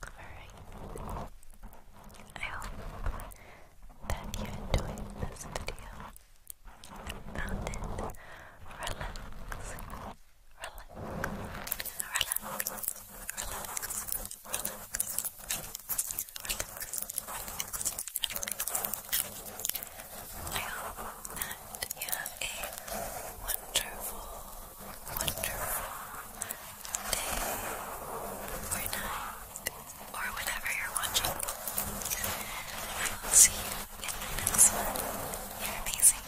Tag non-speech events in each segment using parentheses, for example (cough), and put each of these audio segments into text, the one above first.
covering. I hope that you enjoyed this video I hope that you have a wonderful wonderful day or night or whenever you're watching. I'll see you in my next one. You're amazing.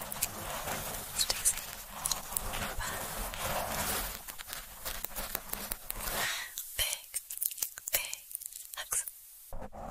Stay safe. Bye. Big, big hugs.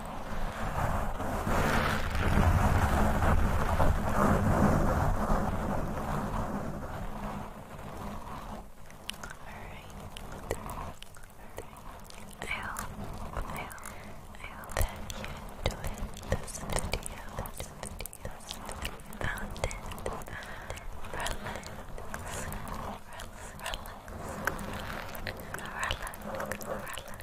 I hope, I hope, I hope that you enjoyed this video, this video, this video, found it, found it, relax, relax, relax, relax, relax, relax.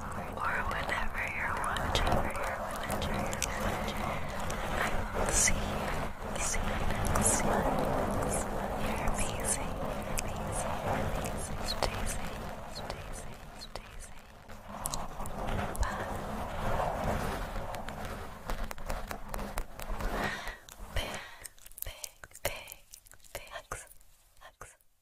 or whenever you're watching, whenever you're watching, I will see you, see you You're amazing, you're amazing, you amazing. big, big, big hugs, hugs.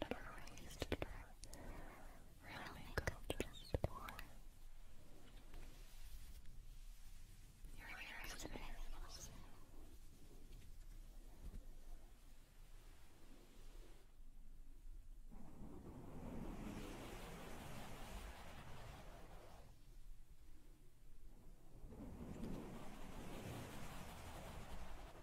Number ways to try just for your ears and nails.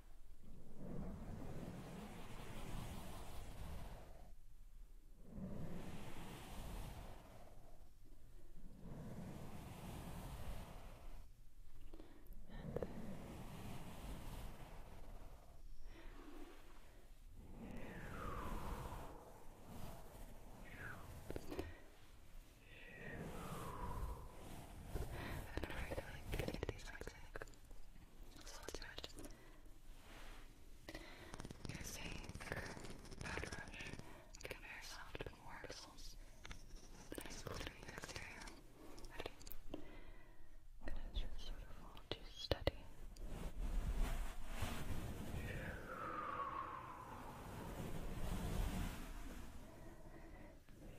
And I'm really, really good at these things. Solitude. Piercing for bad rush. Get very soft and warm muscles. Nice cool to the exterior. Ready? It is just beautiful to study. Haven't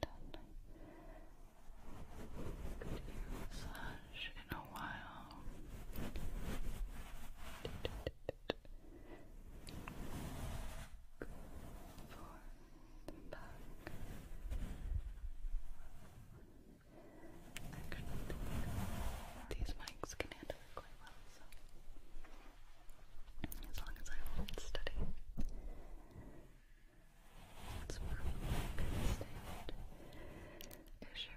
done a massage in a while. Good for the back. these mics can handle it quite well, so as long as I hold steady. It's probably been saved issue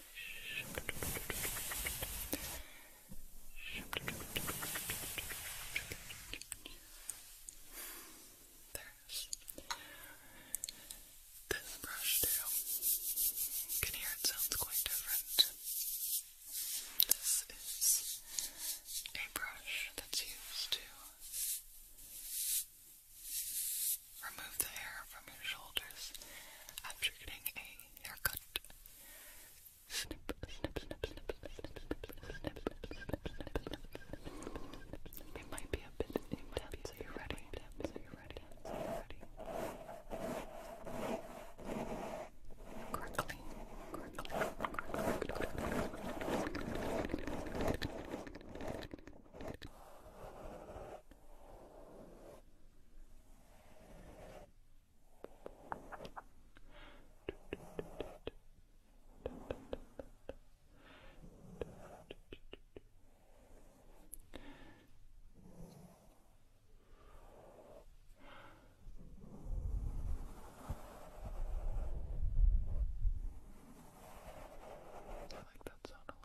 There's this brush too. You can hear it sounds quite different. This is a brush that's used to remove the hair from your shoulders after getting a haircut. Snip, snip, snip, snip, snip, snip, snip, snip, snip, snip. It might be a bit intense. Are ready? Are you ready? Are I like that sound a lot.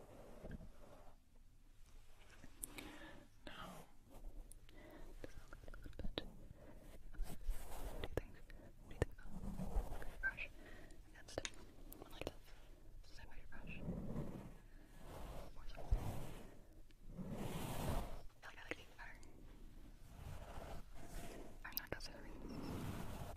Now, this a little bit do things, do things about your brush against it, like this, same way your brush, more softly. like I like these better. I'm not necessarily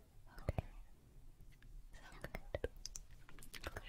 Okay. So good. Okay.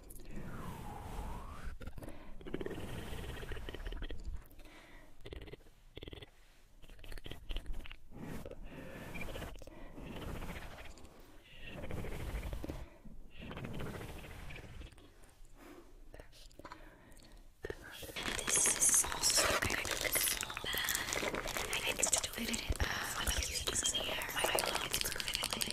This is also kind of so bad. I need to do it. Uh, I'm using my phone.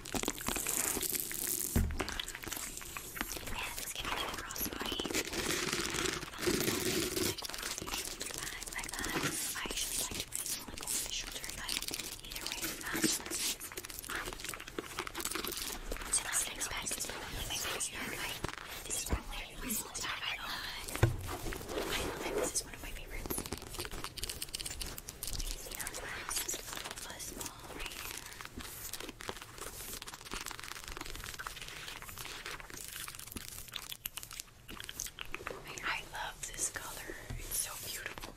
Yes, give me that crossbody. Um, like that. I usually like to put it like over the shoulder, but either way, um, so let's so let's get back to my favorite hair. This is probably the most I love. I love it. This is one of my favorites. I love this color. It's so beautiful.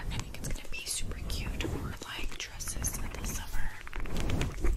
I think it's gonna be super cute for like dresses in the summer.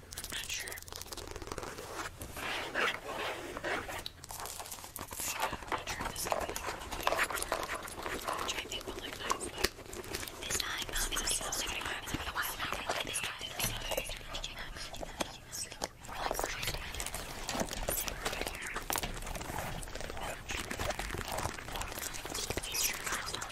I'm not sure. I'm not sure if this could be like which I think will look nice, but this time I'll be looking for a while now. Like this time, this time, this time, this time, this time, this time, this time, this time, this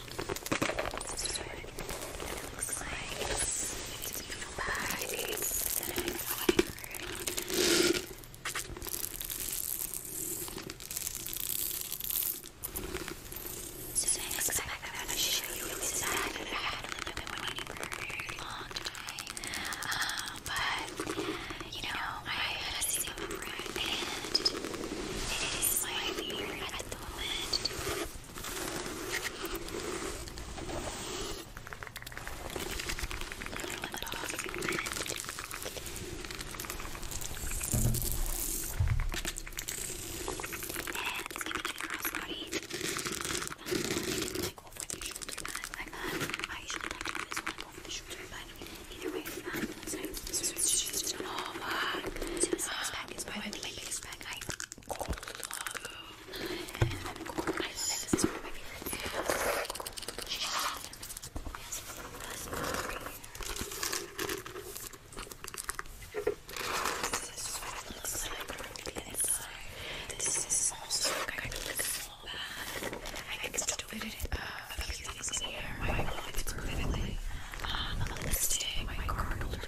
This it looks like. It's a beautiful bag. It's a So the next bag I'm going to show you I had a waiting for a long time. Um, but, you know, I had a single friend and it is my favorite at the moment over the shoulder pad. I'm not, I usually don't do this one over the shoulder pad. Either way, it's not. It's nice. It's just, it's just, oh, fuck. So this, this pack is probably my biggest pack. I Cold Love. Cold I love This is one of my favorite This is what it looks like inside. This is also kind of a small bag. I can still fit it in a few things in here. My wallet's perfectly. Um, a lipstick, my card holder,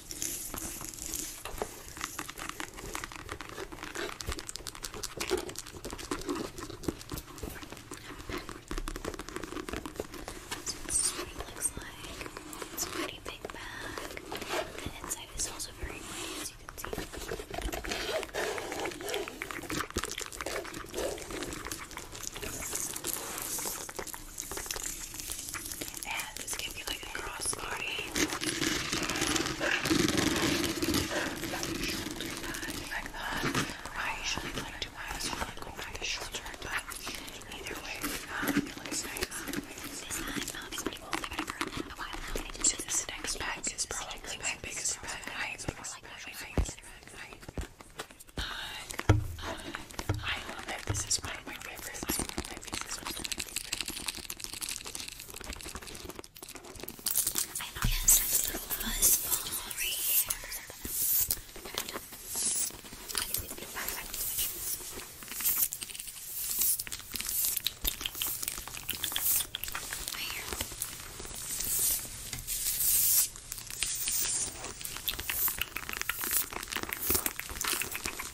This is what it looks like. It's a pretty big bag. The inside is also very pretty, as you can see. And this can be like a cross body. Shoulder pad like that. I usually like to wear this one over the shoulder, but either way, um, it looks nice. So this next bag is probably my biggest pet. I I love it. This is one of my favorites. I love it. This is one of my favorites. I noticed a little buzz Right here. I so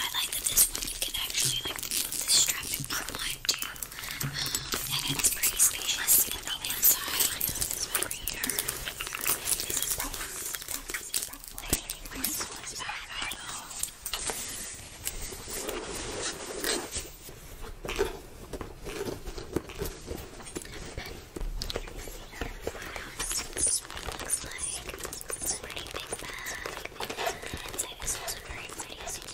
I like that this one you can actually like move the strap and unwind to and it's pretty spacious, but the inside is very dark. This is probably, this is probably my smallest bag I know. This is what it looks like. It's a pretty big bag. Inside is also very pretty, as you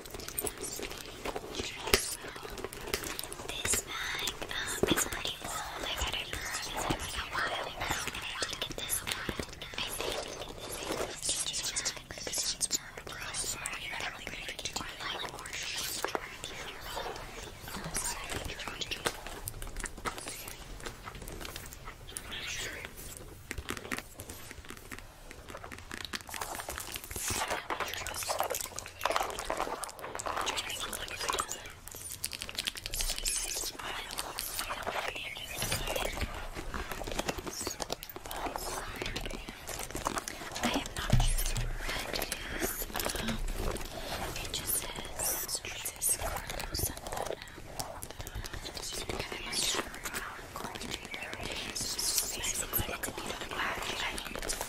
This bag um, is pretty old. I've had it for a while now, and I did get this one. I think it's just a bag because it's more cross. I don't think I do like more shoes. I'm sorry, I'm trying to do I'm not sure. I am not sure what it is. Um, it just says Francisco Santana. I'm not sure how I'm going to do it. It's basically like a beautiful package. I think it's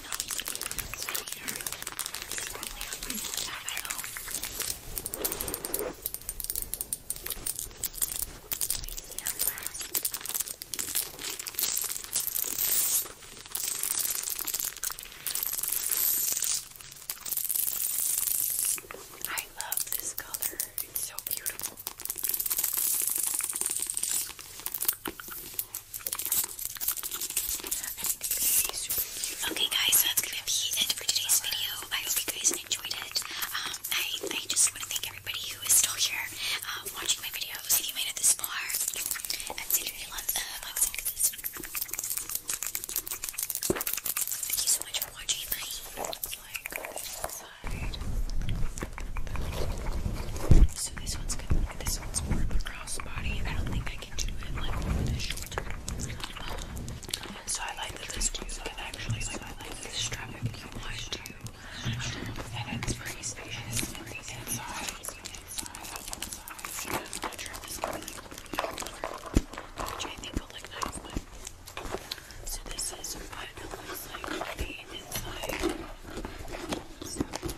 you know, it's right here. It's right there. I don't have it all. see how fast. I love this color. It's so beautiful. I Okay guys, that's gonna be it for today's video. I hope you guys enjoyed it. Um, I, I just wanna thank everybody who is still here um, watching my videos. If you made it this far, I'm you lots uh, Thank you so much for watching my so so I like that this one I actually like I like this strap if you want too, And it's pretty spacious inside. Inside. which I think will look nice, so this is what it looks like on the inside.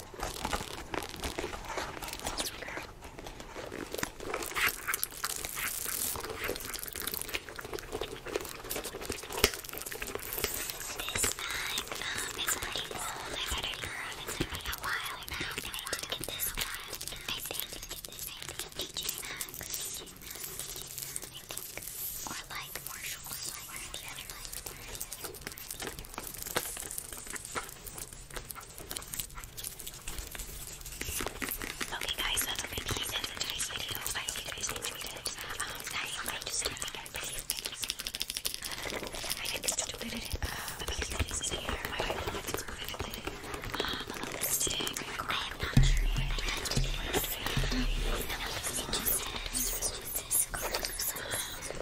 um, it's pretty old. I've had it for a while now, and I did get this one. I think I did get this. I think DJ Maxx, or like Marshall's, or the other one. Okay guys, that's a pretty nice video. I hope you guys enjoyed it. Um, I, I just didn't think I'd really I think it's stupid. Uh, because that is here. My wife wants to move it. Um, a lipstick. I am not sure yet. That's what it is. And a lipstick just said, this is gorgeous. Um,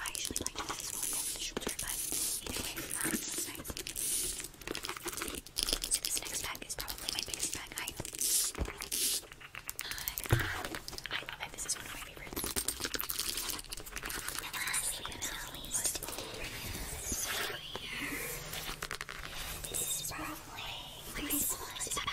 I usually like to this it on the shoulder, but either way um, this next bag is probably my biggest bag. I, love it. This is one of my favorites. This is probably my smallest bag.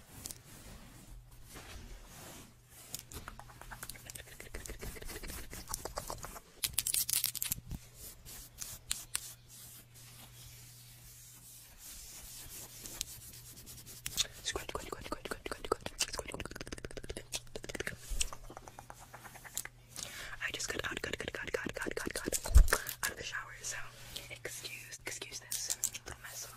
Scratch, scratch, scratch, scratch, scratch, scratch. I just got out, got, got, got, got, got, got, got out of the shower, so excuse, excuse this little mess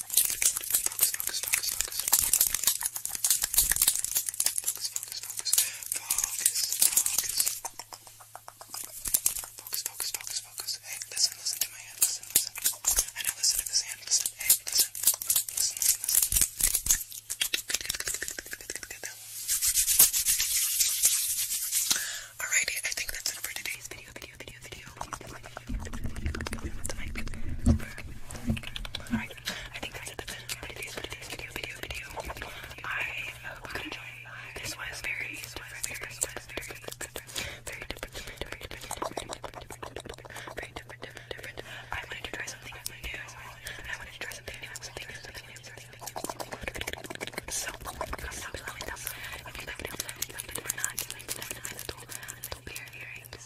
Focus, focus, focus, focus. Focus, focus, focus. Focus, focus. Focus, focus, focus, focus. Hey, listen, listen to my hand. Listen, listen. I know, listen to this hand. Listen. Hey, listen. Listen, listen, listen. Good, good, good, good, good, good, good, good. Alrighty, I think that's it for today's video, video, video, video. video, video, video, video. But I I, I think that's it. That's it. Today's video, video, video. I hope you enjoyed. This was very different. This was very different. Very different. Very different. Very different. Different. Different. I wanted to try something new. I wanted to try something new. Something new. Something new. So, comment down below. If you loved it, loved it or not, like, let me know. Don't bear earrings.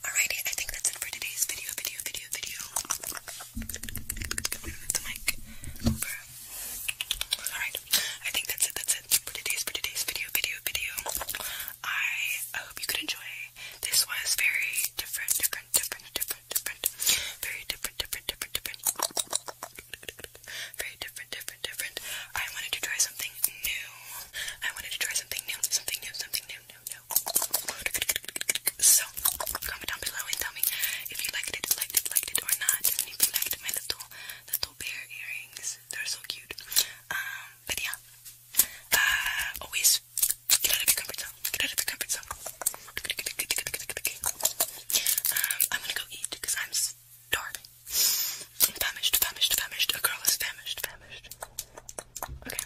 Alrighty, I think that's it for today's video, video, video, video. Alright, I think that's it, that's it today's, video, video, video. I hope you could enjoy. This was very different, different, different, different, different. Very different, different, different, different. Very different, different, different. I wanted to try something new. I wanted to try something new, something new, something new. So, comment down below and tell me if you liked it, liked it, liked it or not. And if you liked my little, little bear earrings, they're so cute. Um, but yeah, uh, always get out of your comfort zone. Get out of your comfort zone. Um, I'm gonna go eat because I'm starving. I'm famished, famished, famished. A girl is famished, famished. Okay,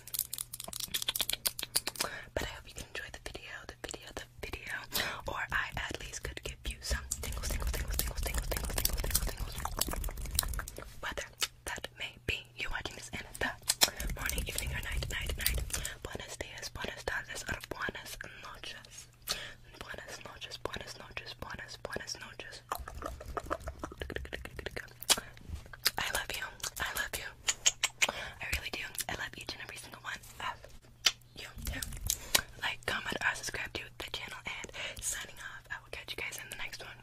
but I hope you enjoy the video, the video, the video, or I at least could give you some tingles, tingles, tingles, tingles, tingles, tingles, tingles, tingles, tingles. Whether that may be you watching this in the morning, evening, or night, night, night. Buenos dias, buenas tardes, or buenas noches. Buenas noches, buenas noches, buenas, buenas noches. I love you. I love you. I really do. I love each and every single one of you. Like, comment, or subscribe to the channel, and signing off. I will catch you guys in the next one.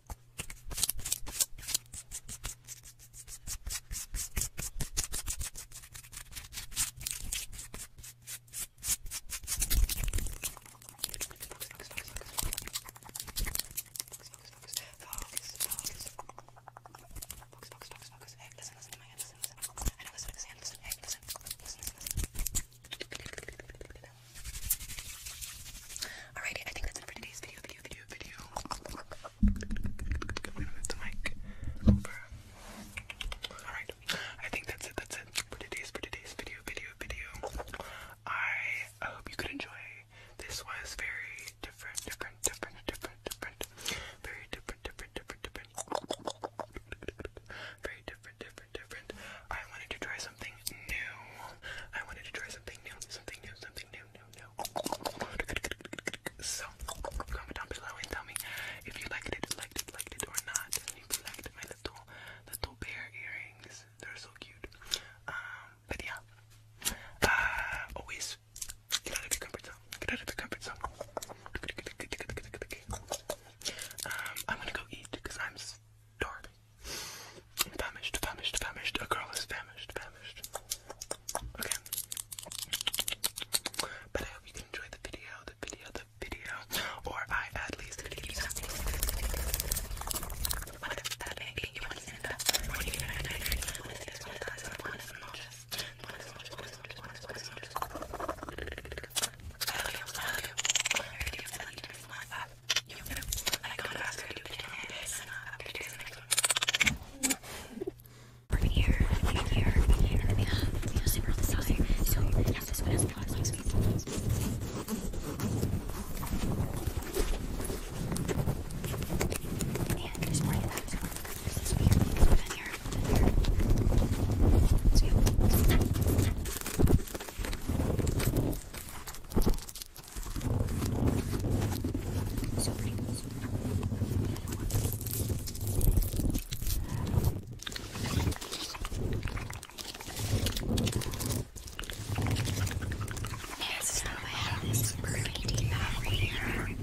Hey, listen, listen to my hand, listen, listen. I know, listen, listen, listen, hey, listen, listen, listen, listen. Alrighty, I think that's it for today's video, video, video, video. I'm gonna move the mic Alright, I think that's it, that's it for today's, for today's video, video, video. I hope you could enjoy. This was very different, different, different, different, different. Very different, different, different, different. Very different, different, different. I wanted to try something new. I wanted to try something new, something new, something new, new, new. So, comment down below and tell me if you liked it, liked it, liked it, or not. you liked my little, little bear earrings, they're so cute. Um, but yeah, uh, always get out of your comfort zone. Get out of your comfort zone. Um, I'm gonna go eat because I'm starving. Famished, famished, famished. A girl is famished, famished. Okay. But I you can the video, the video, the video. Or I at least up. You know, I got to ask her to do this, and I'm going to do the next one. Over here, over here, over here, and then we have, we have zipper on the side, so yeah, this one has a lot of legs. And there's more like that, there's more like that, there's this weird thing over here, over here. So yeah. So pretty. Yes, so I have this pretty right here.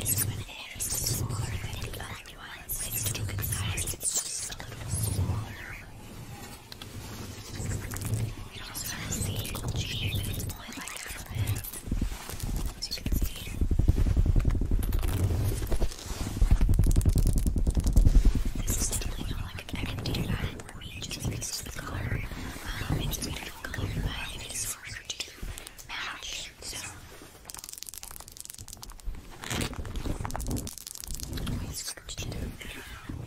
This one is smaller than the other one. It's too concise, it's just a little smaller. You don't sort of see eagle cheese, but it's only like half of it, as you can see. This is definitely not like I can do that for me just because of the color. Um, it's just made of color, but it is harder to match, so. It's hard to do. I don't know.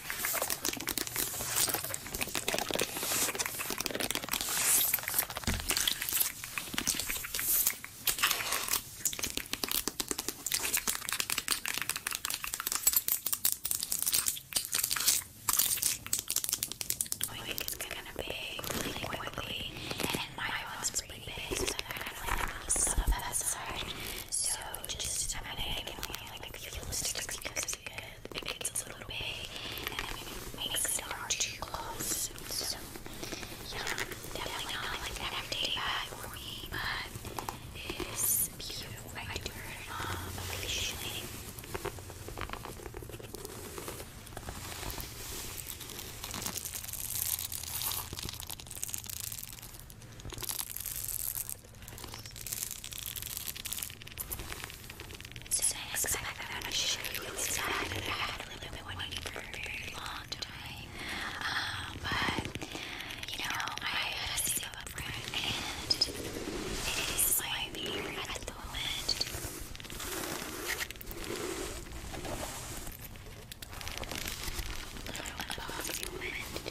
I think it's gonna be really quickly, and my one's pretty big, so I kind of like have some of that side. So just, I'm gonna give me like a few sticks because it's good with, it gets a little big, and it makes it hard close. So, yeah, definitely not like everyday but it is beautiful. Um, occasionally. So I'm going to show you this bag that I had really been for a very long time. Um, but, you know, I had to save and it is my favorite at the moment. Little unboxing moment.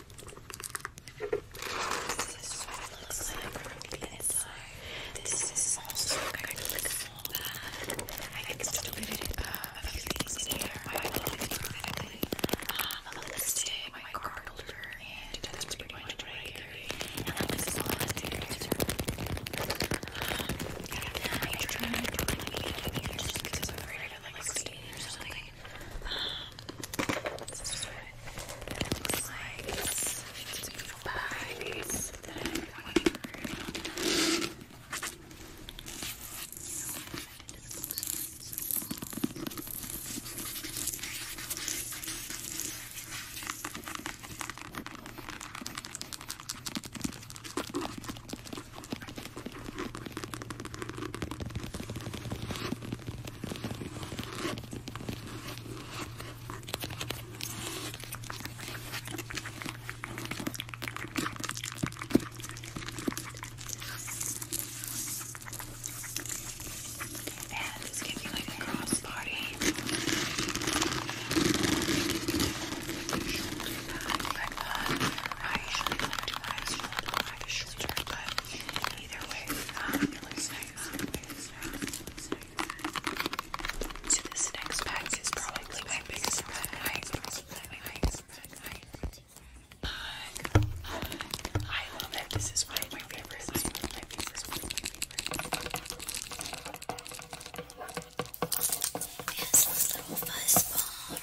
This is what it looks like inside. This is also kind of like a small bag. I extruded uh, a few things in here. My lipstick, um, a lipstick, my card holder, and that's pretty much what I carry. And like this is all I carry. Um, yeah, I try not to do anything just because I'm afraid of like stealing or something. Um, this is what it looks like. It's, it's beautiful bags that I went through. You know, and this can be like a cross party. I usually like to my shoulder, like a either way, um, it looks this next is probably my biggest pet I love it. This is one of my favorites. This little fuzz ball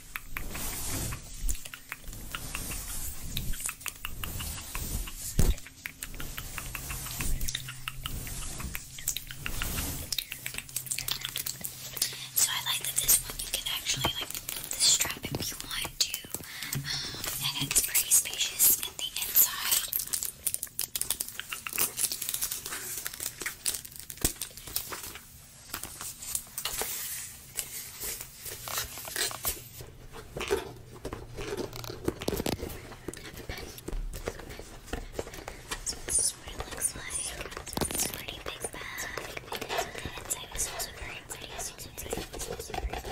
So I like that this one you can actually like the strap if you want to, um, and it's pretty spacious at the inside. This is what it looks like. It's a pretty big bag. Inside is also very pretty. It's also very pretty.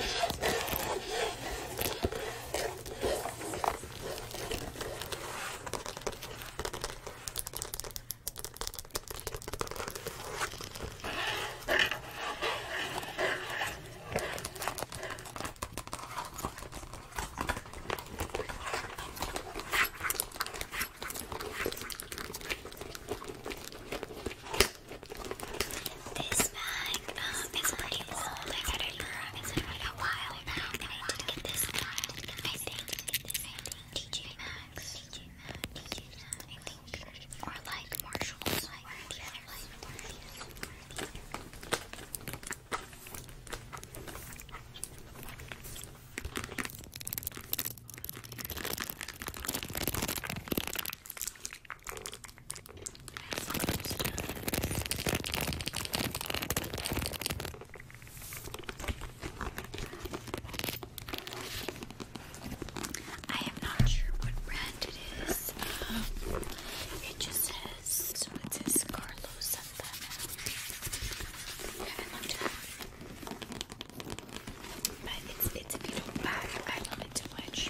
This bag um, is pretty old. I got it for a while back, and I did get this style. I think this is DJ Max. Max, DJ Max, DJ Max, I think, or like Marshalls, or the other like I I am not sure what brand it is. Um, it just says, so it says it's, a beautiful bag. I love it too much.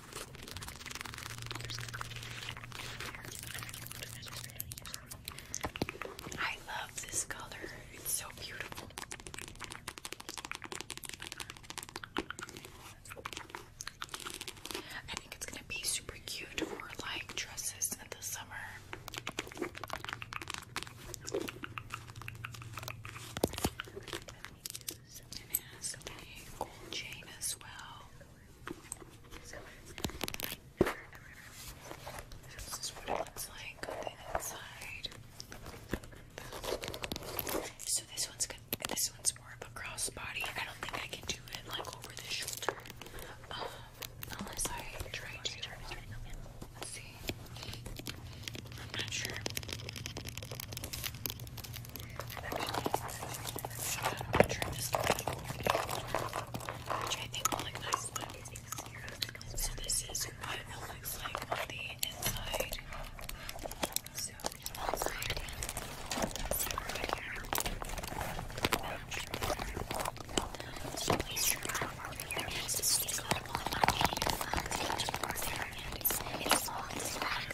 I love this color. It's so beautiful. I think it's gonna be super cute for like dresses in the summer. It has a gold chain as well. This is what it looks So this one's This one's more of a crossbody. I don't think I can do it like over the shoulder, unless I try to. Let's see. I'm not sure. I'm actually going to I think will look so this is what it looks like on the inside. So outside, so right here, so please try. It's just a little bit of here, and it's long, black,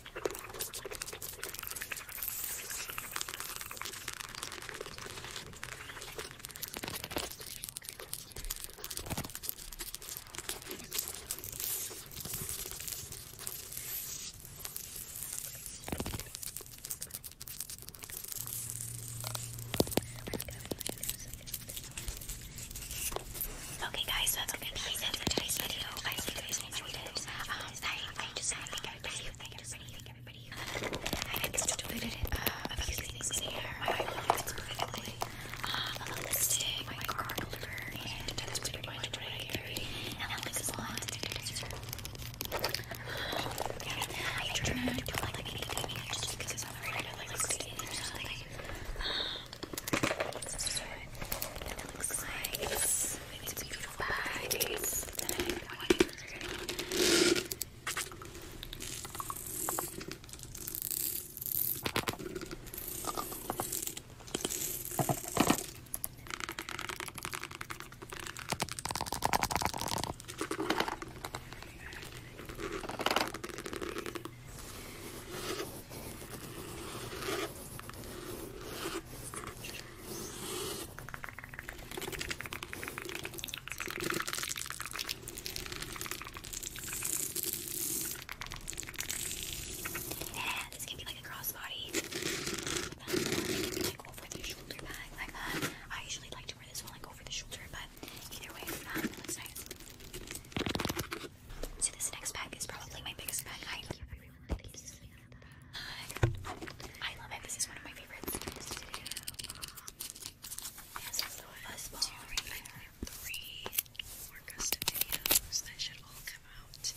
Okay guys, that's gonna be for today's video. I hope you guys enjoyed it. I, I just I think I thank everybody, thank everybody who excluded it, uh, a few things here. My life specifically, uh, a lipstick, my card holder, and that's pretty much what I carry. And that looks blonde, I try not to do like anything just because I'm afraid I like skin or something. This is what it looks like. It's it's, it's a beautiful bag. It's yeah, this can be like a crossbody. Uh, I usually like to wear this one like over the shoulder, but either way, It looks nice. So this next bag is probably my biggest bag. I love I love it. This is one of my favorites. This custom videos that should all come out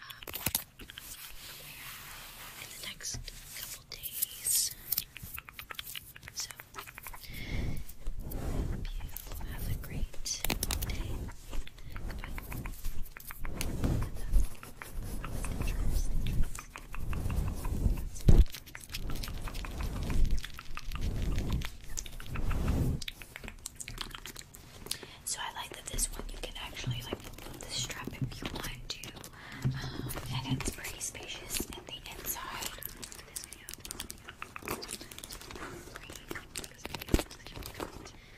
um, in the next couple days. So, hope you have a great day. So I like that this one you can actually like remove the strap if you want to, um, and it's pretty spacious in the inside.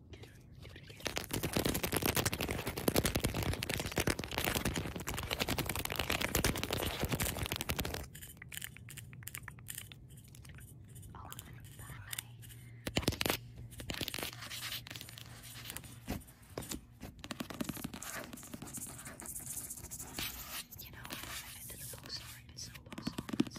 You oh, know, I haven't been to the bookstore in so long. So.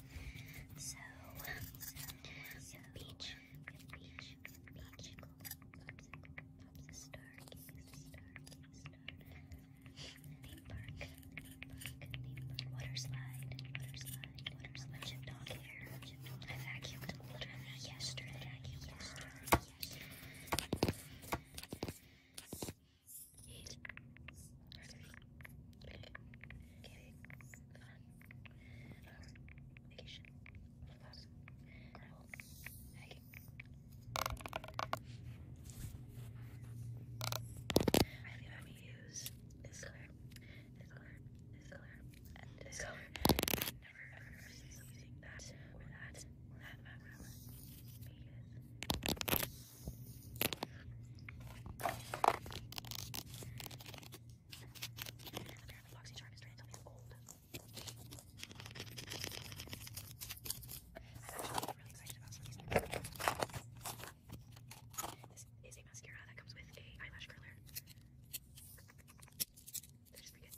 So, so peach, peach, peach, popsicle, stargaze, stargaze, stargaze, theme park, theme park, theme park, water slide, water slide, water slide, chip dog hair, chip dog hair, I vacuumed literally yesterday, I vacuumed yesterday, yesterday eight, three, I think I'm gonna use this color, this color, this color, and this color. never ever seen using that or that or that background. Because the Boxycharm I'm really excited about This is mascara that comes with a eyelash curler. They're just pretty good.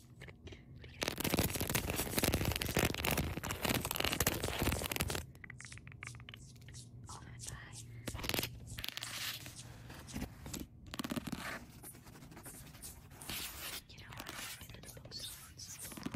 You know, I've been to the bookstore in so long.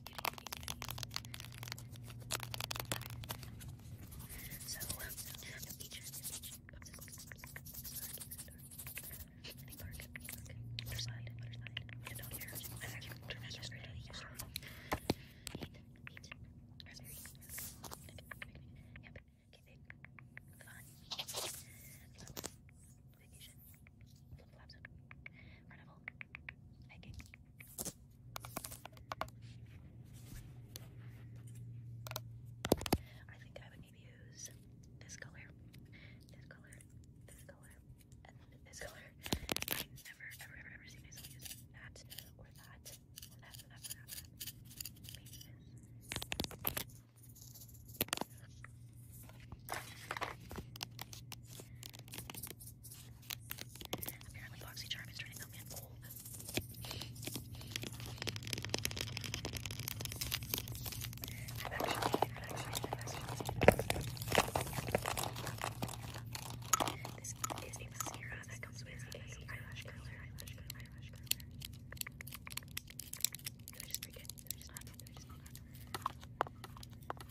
cuties, cuties, cuties, cuties. So, um, the beach, the beach, any park, butterslide, butterslide, I don't care, I actually went to yesterday, yesterday, eat, eat, raspberry, yep, camping, fun, flowers, vacation, flip-flops, carnival, Okay. I think I would maybe use this color, this color, this color, this color. I never, ever, ever, ever see myself using that or that Apparently, BoxyCharm is turning out man cold. I've actually, I've actually, I've actually. This is a mascara that comes with a eyelash curler, eyelash curler, eyelash curler. Did I just break it? Did I just not? Did I just not?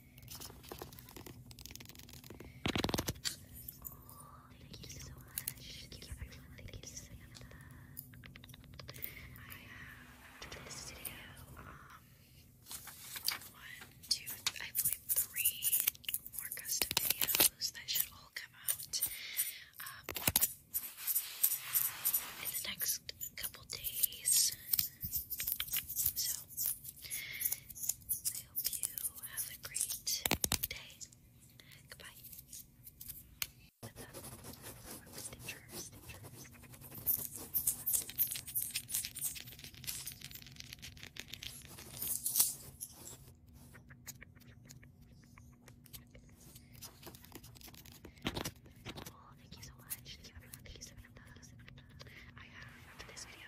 thank you so much. Thank you everyone. Thank you, Samantha. I have three more custom videos that should all come out. Um, in the next couple days. So I hope you have a great day. Goodbye. Oh, thank you so much. Thank you, so much. I have, after this video,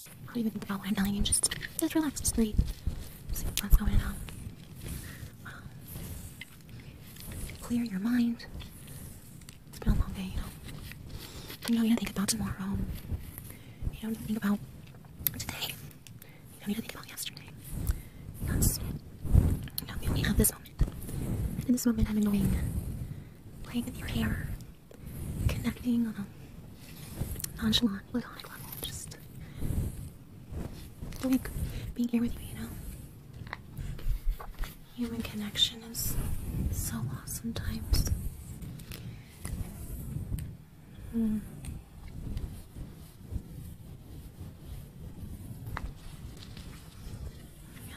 I don't even think about what i Just, just relax, just breathe. See what's going on. Clear your mind. It's been a long day, you know. You don't need think about tomorrow. You don't think about today. You don't need to think about yesterday. Because, you have this moment. in this moment, I'm annoying. Playing with your hair. Connecting on a nonchalant not with high just like being here with you, you know? Human connection is so lost sometimes. Hmm. Yeah.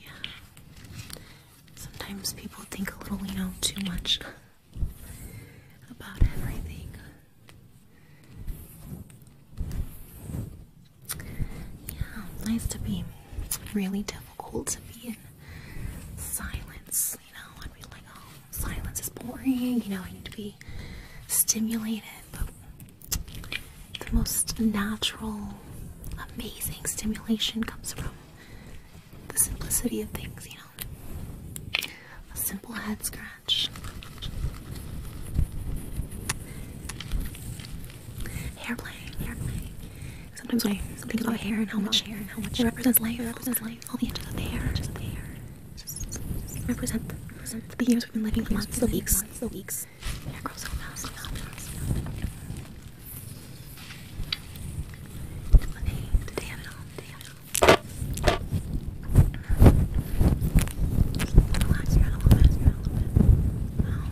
Yeah. Sometimes people think a little, We know, too much about everything. Yeah, nice to be really difficult to be in silence, you know, and be like, oh, silence is boring, you know, I need to be stimulated, the most natural, amazing stimulation comes from the simplicity of things, you know. A simple head scratch. Hair play, hair playing. Sometimes I think about hair and how much hair and how much it represents life, represents life. All the edges of the hair, represents the the years we've been living, the months, the weeks, the weeks. Oh Yeah, girls little mouse. Meow, mouse. you're not alone. You're not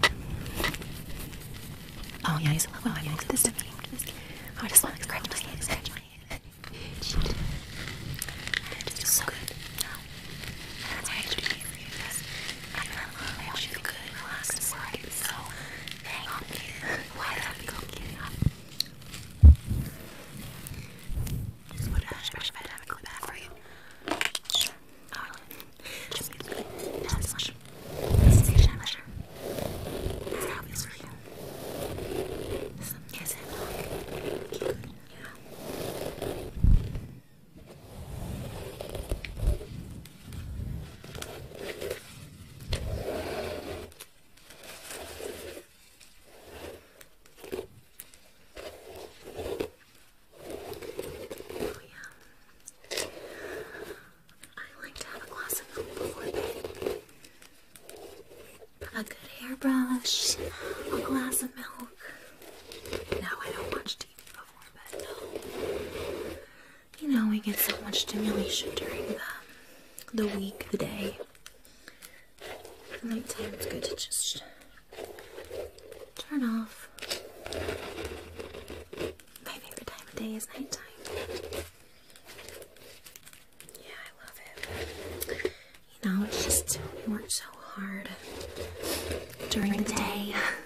alone. Oh, yeah, he's a little. Oh, I just want to scratch my just so good. I wish you could relax and slide. So hang on, kid. Why that be complicated? Just put a brush bed and go back for you. Oh, just get good. That's much. This is your measure. This is how it feels for you. Some kiss Oh, yeah. I like to have a glass of milk before bed. A good hairbrush, a glass of milk. No, I don't watch TV um, you know, we get so much stimulation during the, the week, the day. Nighttime is good to just turn off. My favorite time of day is nighttime. Yeah, I love it. You know, it's just we work so hard during the day.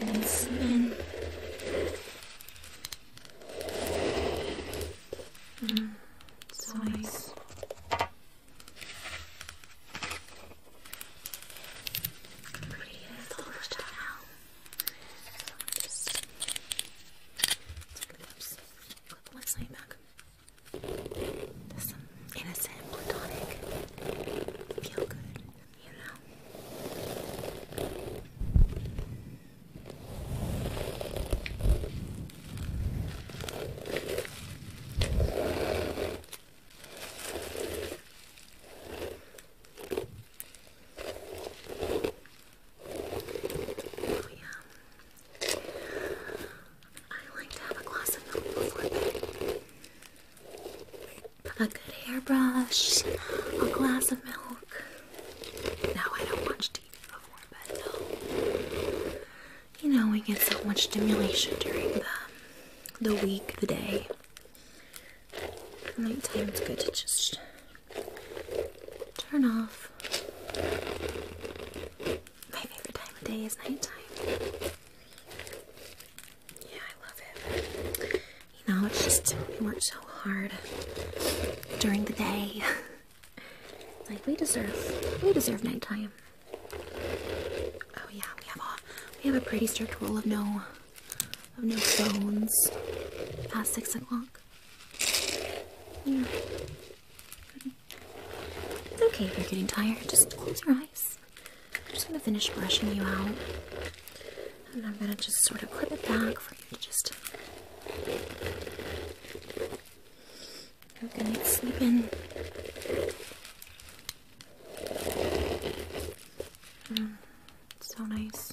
and spin. Mm, so nice. Beautiful style. So just take the one side back innocent, platonic, feel good, you know? Oh, yeah. I like to have a glass of milk before bed a good hairbrush, a glass of milk. No, I don't watch TV before bed, though. You know, we get so much stimulation during the, the week, the day. Nighttime, is good to just turn off. My favorite time of day is nighttime. Yeah, I love it. You know, it's just we work so hard during the day. (laughs) like we deserve, we deserve nighttime. Oh yeah, we have a we have a pretty strict rule of no of no phones past six o'clock. Yeah. It's okay if you're getting tired. Just close your eyes. I'm just going to finish brushing you out. And I'm going to just sort of clip it back for you to just. Okay, sleep in. Mm, so nice.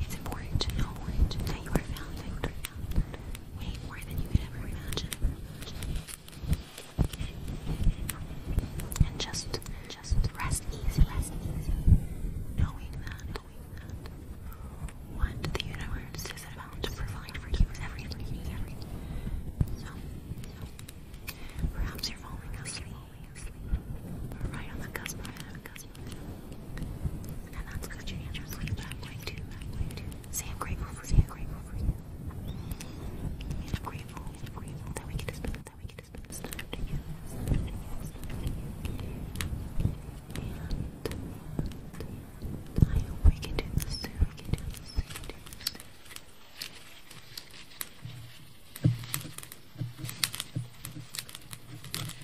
It's important to know that you are valued way more than you could ever imagine. And just, just rest easy, rest easy, knowing that, what the universe is about to provide for you is So, perhaps you're falling asleep, right on the cusp and that's because your hands are playing that way too. That way I'm grateful for you. I'm grateful for you. I'm grateful, I'm grateful that we get to spend that we get to spend this time together. I hope we can do this soon.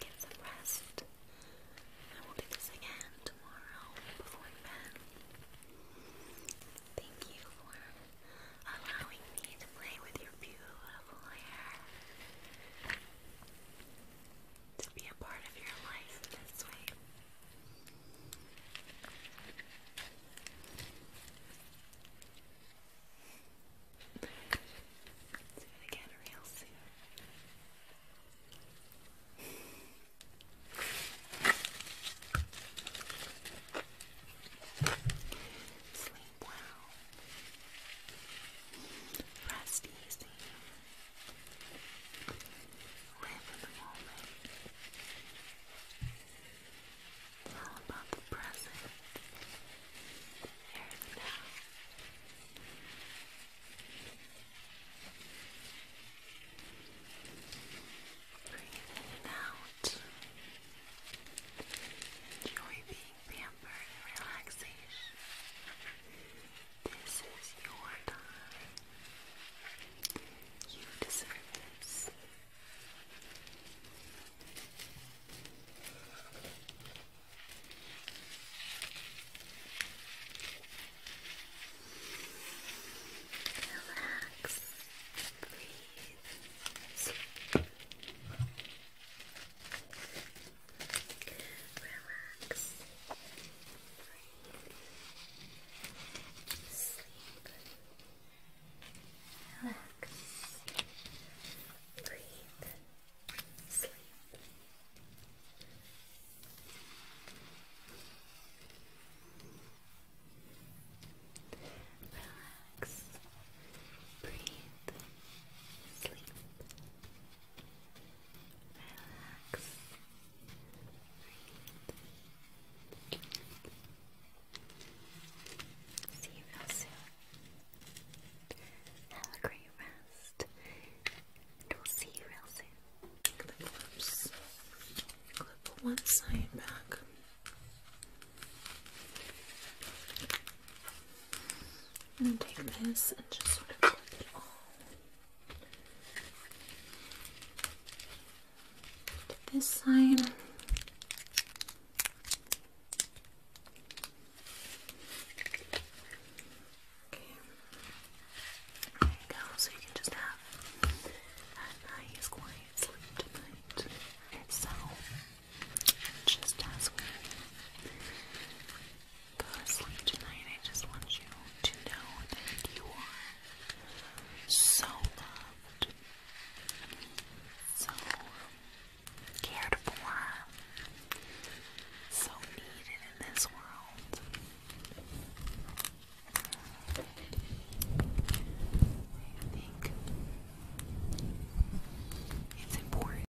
Get some rest. I will do this again tomorrow before bed. Thank you for allowing me to play with your beautiful beautiful hair to be a part of your life this way. Do it again real soon. Sleep well. Rest easy. Live in the moment. It's all about the present. Here now. Breathe out. Enjoy being pampered relaxation. This is your time. You deserve this. Relax, breathe, sleep. Relax. Breathe. Sleep. Relax. Breathe. Sleep. Relax. Breathe. Sleep. Relax. See you real soon. Have a great rest. And we'll see you real soon. Take the clips. Clip one side back. I'm going to take this and just put it all this side. Okay. There you go. So you can just have a nice quiet sleep tonight. So just as we go to sleep tonight, I just want you to know that you are so loved, so cared for, so needed in this world. I think it's important